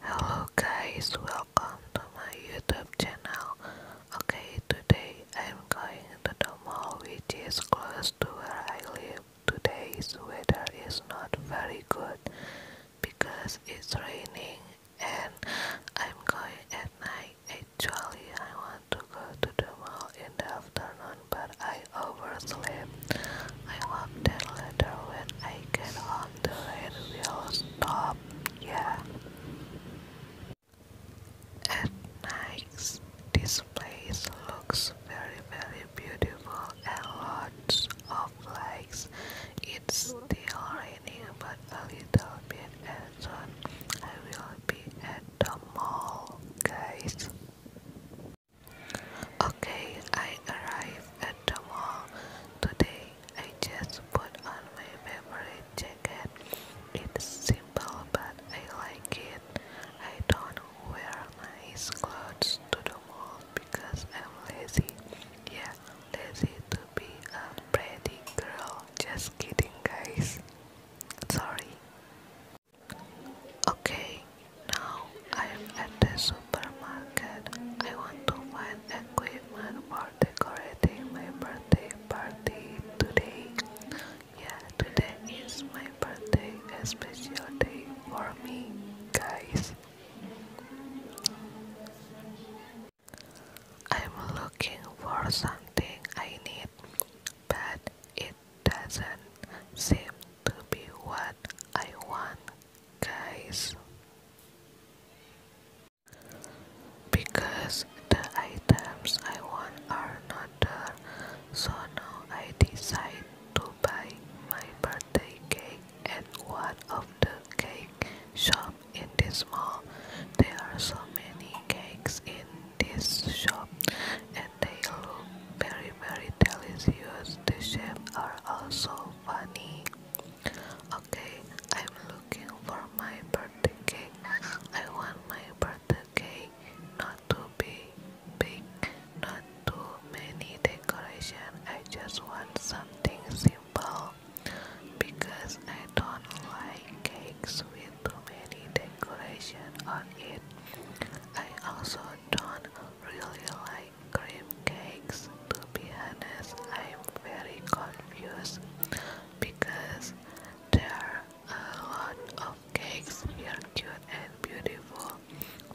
Hello guys, welcome to my YouTube channel. Okay, today I'm going to the mall which is close to where I live. Today's weather is not very good because it's raining and I'm going at night. Actually, I want to go to the mall in the afternoon but I overslept. I loved it later when I get on the red wheel stop, yeah. At night, this place looks very very beautiful and lots of lights. It's still raining but a little bit and soon I will be at the mall, guys. Okay, I arrived at the mall today. I just put on my memory jacket. It's simple but I like it. I don't wear nice clothes to the mall because I'm lazy. Yeah, lazy to be a pretty girl. Just kidding, guys. Sorry. Okay, now I'm at the supermarket. I want to find equipment for decorating my birthday party today. Yeah, today is my birthday, a special day for me, guys. I'm looking for something I need, but it doesn't seem to be what I want, guys. Because the items I want are not there, so now I decide to buy my birthday cake at one of the cake shop in this mall. There are so many cakes in this shop, they look very very delicious. The shapes are also funny. Okay, I'm looking for my birthday cake. I want my birthday cake not to be big, not too many decoration. I just want something simple because I don't like cakes with too many decoration on it. I also don't really like cream cakes. To be honest, I'm very confused because there are a lot of cakes here cute and beautiful.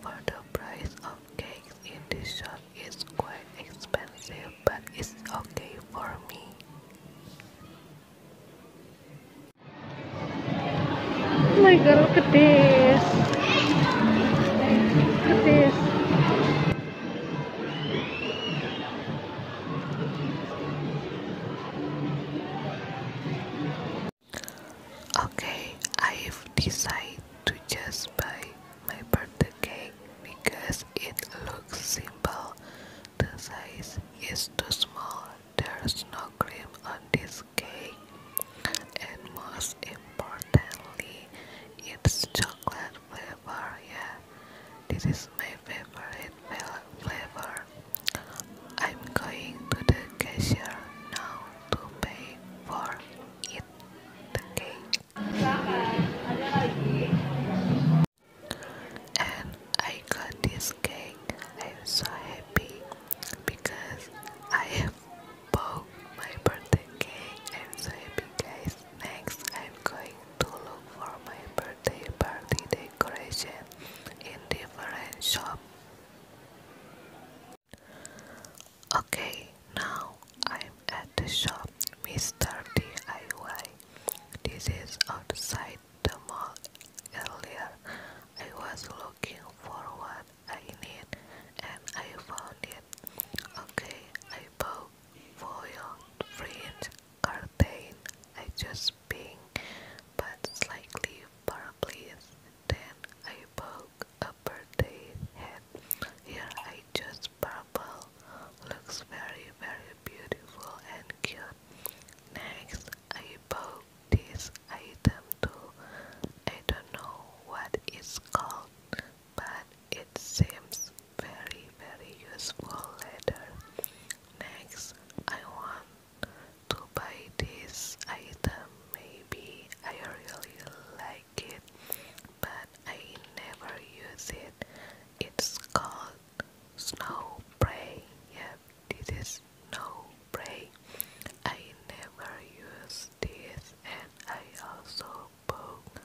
For the price of cakes in this shop is quite expensive but it's okay for me. Oh my god, look at this. Okay, I've decided to just buy my birthday cake because it looks simple. The size is too small there's no cream on this cake, and most importantly, it's chocolate flavor. Yeah, this is my favorite flavor. I'm going to the cashier now to pay for it. The cake and I got this cake. I'm so happy because I have bought my birthday cake. I'm so happy, guys. Next, I'm going to look for my birthday party decoration in different shop. Okay, now I'm at the shop Mr. DIY. This is outside the mall earlier. I was looking for what I need and I found it. Okay, I bought foil fringe curtain. I just pink but slightly purple. Then I bought a birthday hat. Here I chose purple. Looks very very beautiful and Next, I bought this item too. I don't know what it's called, but it seems very, very useful later. Next, I want to buy this item. Maybe I really like it, but I never use it. It's called Snow Prey. Yep, this is Snow Prey. I never use this, and I also bought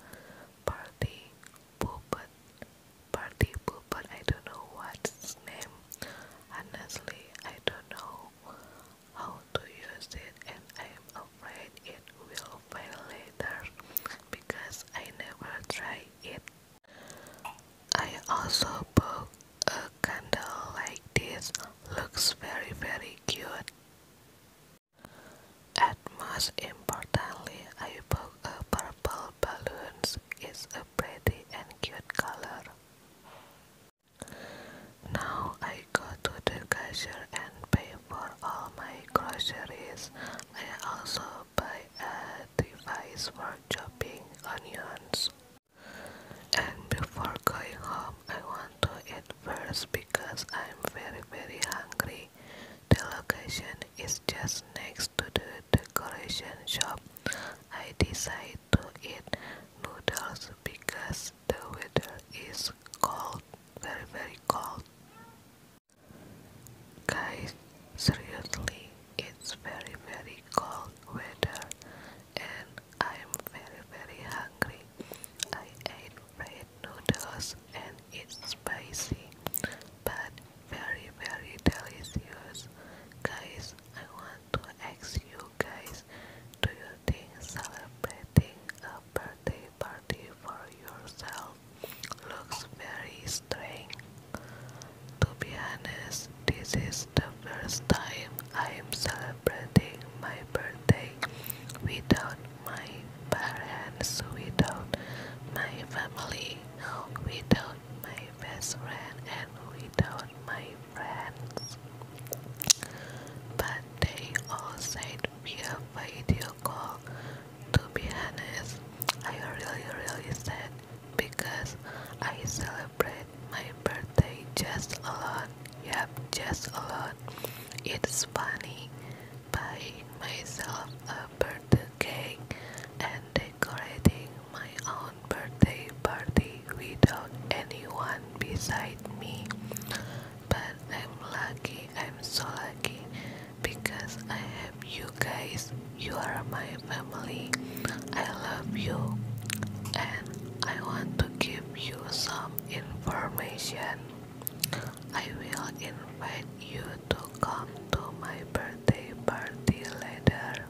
Party Puppet. Party Puppet, I don't know what's its name. Honestly, I don't know how to use it, and I am afraid it will fail later because I never try I also bought a candle like this, looks very very cute. And most importantly, I bought a purple balloons. It's a pretty and cute color. Now I go to the cashier and pay for all my groceries. I also by a device for chopping onions. And before going home, I want to eat first because I'm very very hungry. The location is just next to the decoration shop. I decide to eat noodles because the weather is cold, very very cold. Guys, seriously, it's very very cold weather and I'm very very hungry. I ate red noodles and it's spicy but very very delicious. Guys, I want to ask you guys, do you think celebrating a birthday party for yourself looks very strange. To be honest, this is the first time I am celebrating my birthday without my parents, without my family, without my best friend, and without my friends. But they all said via video call. To be honest, I really really sad because I celebrate my birthday just alone. Yep, just alone. It's funny buying myself a birthday cake and decorating my own birthday party without anyone beside me. But I'm lucky, I'm so lucky because I have you guys, you are my family, I love you, and I want to give you some information. I will invite you to come to my birthday party later.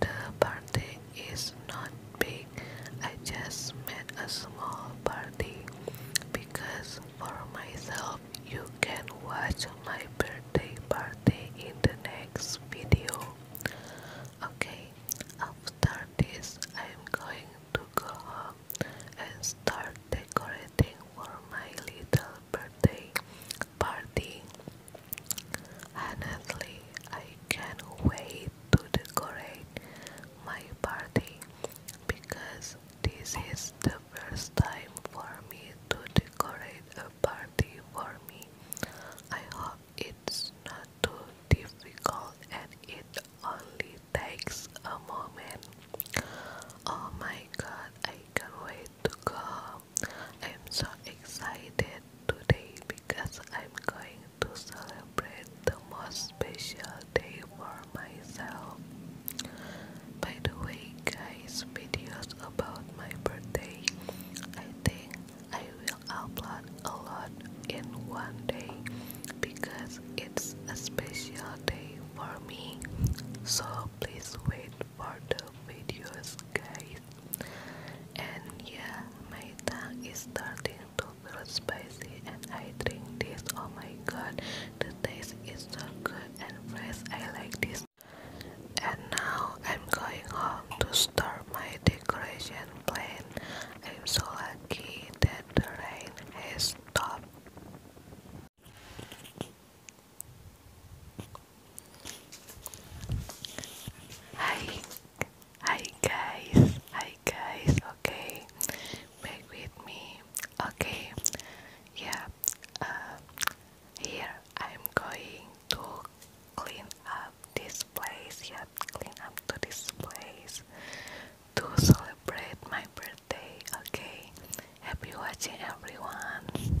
The party is not big. I just made a small party because for myself you can watch my birthday party in the next video. Okay, after this I'm going to go home and start decorating for my little birthday party. Honestly, I can't wait to decorate my party because this is the first time for me to decorate a party for me. I hope it's not too difficult and it only takes a moment. Oh my god, I can't wait to go. I'm so excited today because I'm going to celebrate the most special day for myself. By the way guys, videos about my birthday, I think I will upload a lot in one day because it's a special day for me. So please wait for the videos guys. And yeah, my tongue is starting to feel spicy and I drink this. Oh my god, the taste is so good and fresh. I like this. And now I'm going home to start my decoration plan. I'm so lucky that the rain has stopped. Hi, Hi guys, hi guys, okay, back with me, okay, yeah, uh, here I'm going to clean up this place, yeah, clean up to this place to celebrate my birthday, okay, happy watching everyone.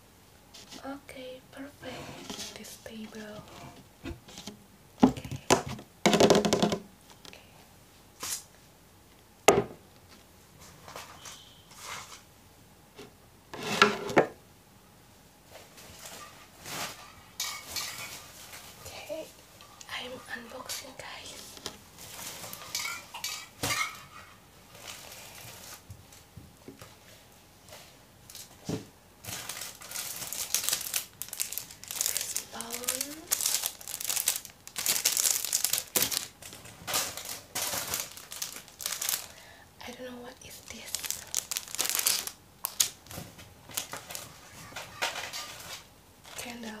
Okay, perfect. This table. Okay. okay. Okay, I'm unboxing guys. I don't know what is this. Candle.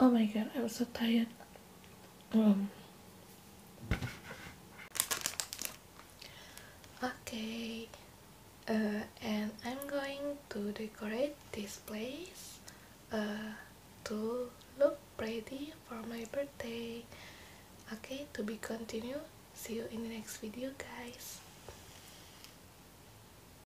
Oh my god, I'm so tired. Um. Okay, uh, and I'm going to decorate this place uh, to look pretty for my birthday. Okay, to be continued. See you in the next video, guys.